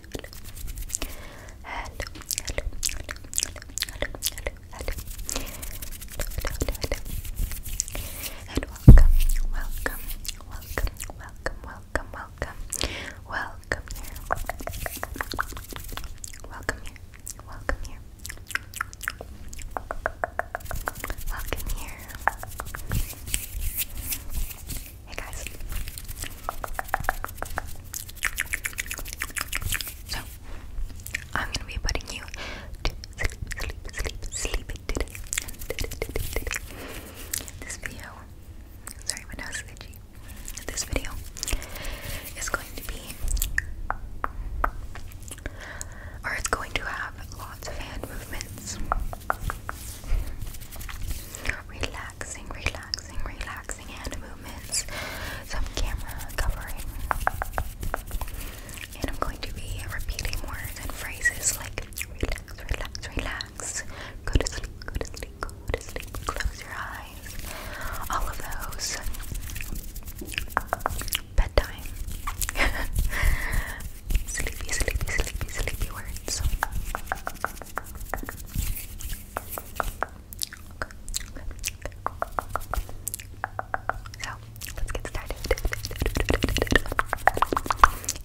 hello, hello, hello, hello, hello, hello, hello, hello, and welcome, welcome, welcome, welcome, welcome, welcome, welcome here, welcome here, welcome here. Welcome here. Hey guys, so, I'm gonna be putting you to sleep, sleep, sleep, sleep today. today, today, today. This video, sorry, my nose is itchy. This video is going to be, or it's going to have lots of hand movements relaxing, relaxing, relaxing hand movements. Some camera covering. And I'm going to be repeating words and phrases like relax, relax, relax, go sleep, go sleep, go sleep, close your eyes. All of those. Bedtime. sleepy, sleepy, sleepy, sleepy words. So, let's get started.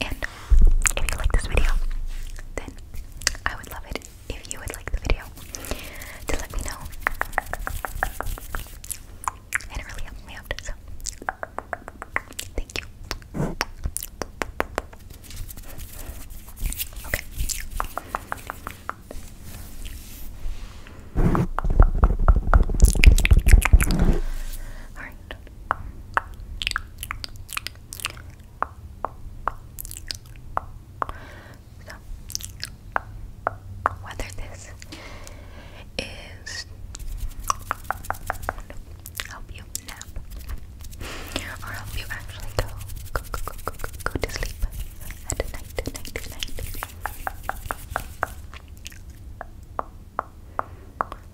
And if you like this video, then I would love it if you would like the video to let me know. And really helps me out, so thank you. Okay. All right. So, whether this is help you nap or help you actually go go go go go go, go to sleep at night, at night, at night.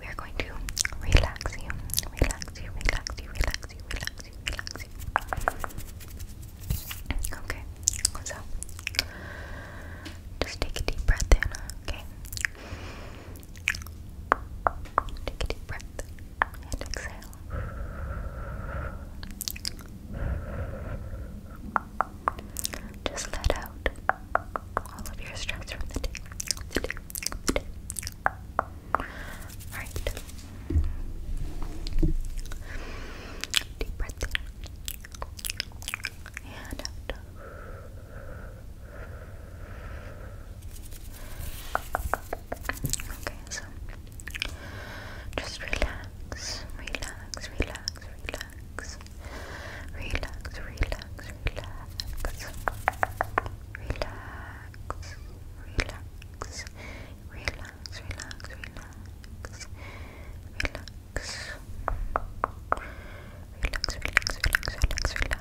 We are going to relax you, relax you, relax you, relax you, relax you, relax you. Okay, so just take a deep breath in, okay? Take a deep breath and exhale. Just let out all of your stress from the day. Alright. Deep breath in and out. Okay, so just relax, relax, relax, relax, relax, relax, relax, relax, relax, relax, relax, relax. Relax. Relax, relax, relax, relax, relax.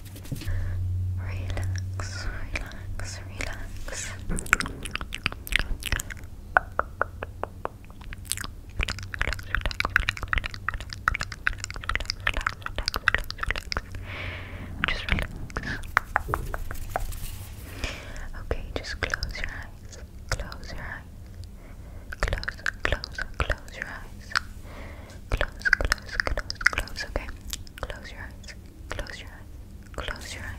Relax, relax, relax. Just relax. Okay, just close your eyes. Close your eyes. Close, close, close your eyes. Close, close, close, close, okay? Close your eyes. Close your eyes. Close your eyes.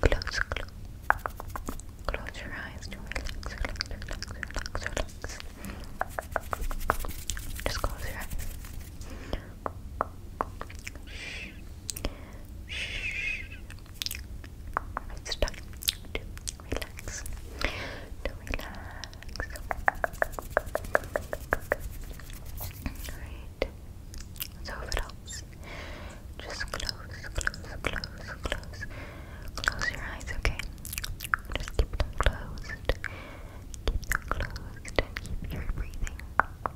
Close, close. Close your eyes to relax, relax, relax, relax, relax. Just close your eyes. Shh. Shh. It's time to relax. To relax. Alright. So if it helps, just close, close, close, close. Close your eyes, okay? Just keep them closed. Keep them closed and keep your breathing.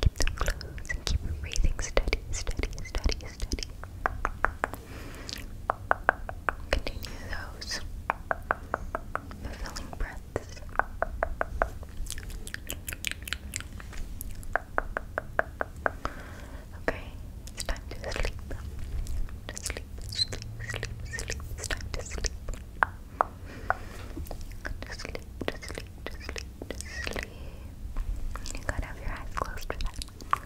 Keep them closed keep your breathing steady, steady, steady, steady. Continue those fulfilling breaths. Okay, it's time to sleep. To sleep, sleep, sleep, sleep. It's time to sleep. To sleep, to sleep, to sleep, to sleep. You gotta have your eyes closed for that.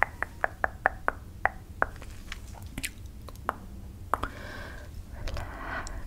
Relax relax, relax, relax, relax, relax, relax, relax, relax, relax, relax,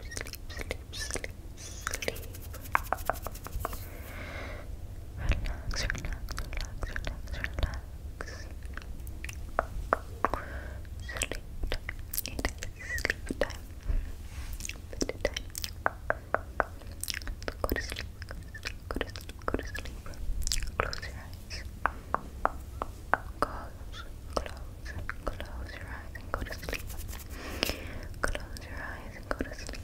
sleep, sleep, sleep. Relax, relax, relax, relax, relax. Sleep time. sleep time. Bed Go to sleep. Go to sleep. Go to sleep. Go to sleep. Close your eyes. Go close, close, close your eyes and go to sleep. Close your eyes and go to sleep.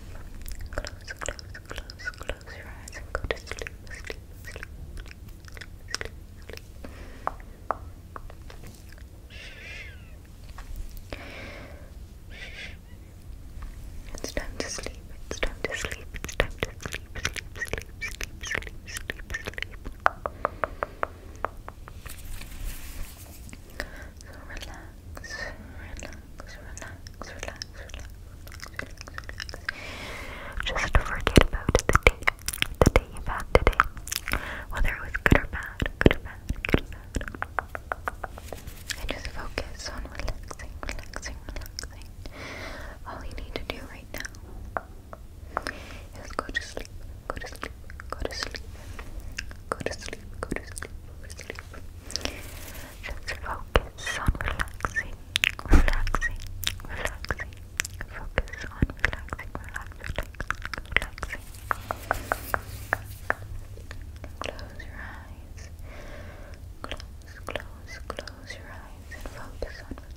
Close, close, close, close your eyes and go to sleep. Sleep, sleep, sleep, sleep, sleep. Shh. Shh. It's time to sleep. It's time to sleep. It's time to Sleep, sleep, sleep, sleep, sleep, sleep, sleep. So relax, relax, relax, relax, relax, relax, Just forget about the day, the day you've had whether it was good or bad. And just focus on relaxing, relaxing, relaxing. All you need to do right now go to sleep, go to sleep, go to sleep, go to sleep, go to sleep, go to sleep. focus on relaxing, relaxing, relaxing. Focus on relaxing, relaxing, relaxing, relaxing. Close your eyes. Close, close, close your eyes and focus on relaxing.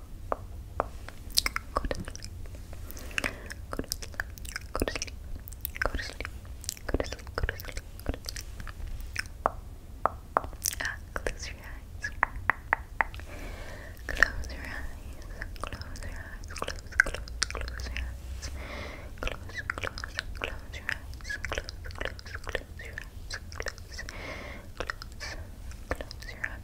Go to sleep. Go to sleep. Go to sleep. Go to sleep. Go to sleep. Go to sleep. Go to sleep. Ah, close your eyes. Close your eyes. Close your eyes. Close, close, close your eyes. Close, close, close your eyes. Close, close, close your eyes. Close, close, close your eyes.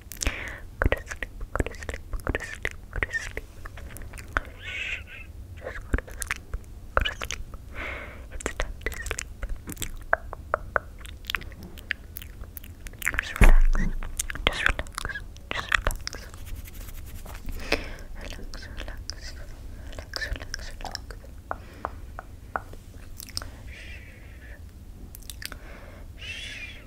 Go to sleep, go to sleep, go to sleep, go to sleep. Shh, just go to sleep, go to sleep. It's time to sleep. Just relax, just relax, just relax. Relax, relax, relax, relax, relax. Shh. Shh.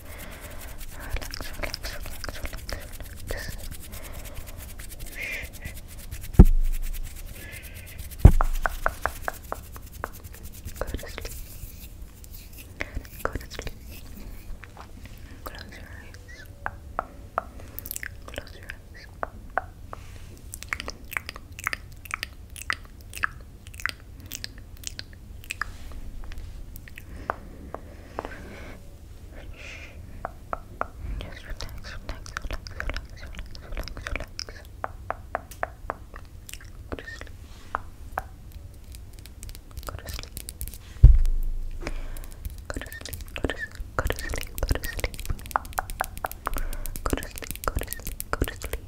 relax, relax, relax, relax, relax. Go to sleep. Go to sleep. Close your eyes. Close your eyes. Just relax, Go to sleep. Go to sleep. Go to sleep. Go to sleep. Go to sleep. Go to sleep.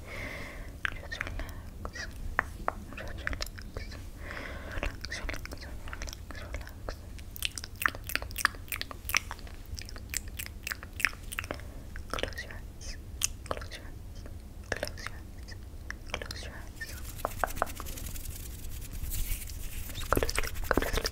Just relax. Just relax. Relax, relax, relax, relax. Close your eyes. Close your eyes. Close your eyes. Close your eyes. Just go to sleep. Go to sleep. Go to sleep.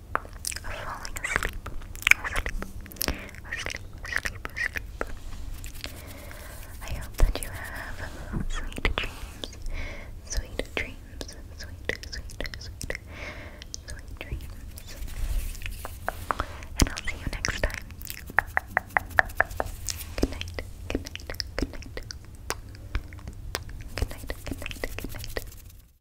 falling asleep, asleep, asleep, asleep, asleep. I hope that you have sweet dreams, sweet dreams, sweet, sweet, sweet, sweet dreams. And I'll see you next time. Good night, good night, good night. Good night, good night, good night.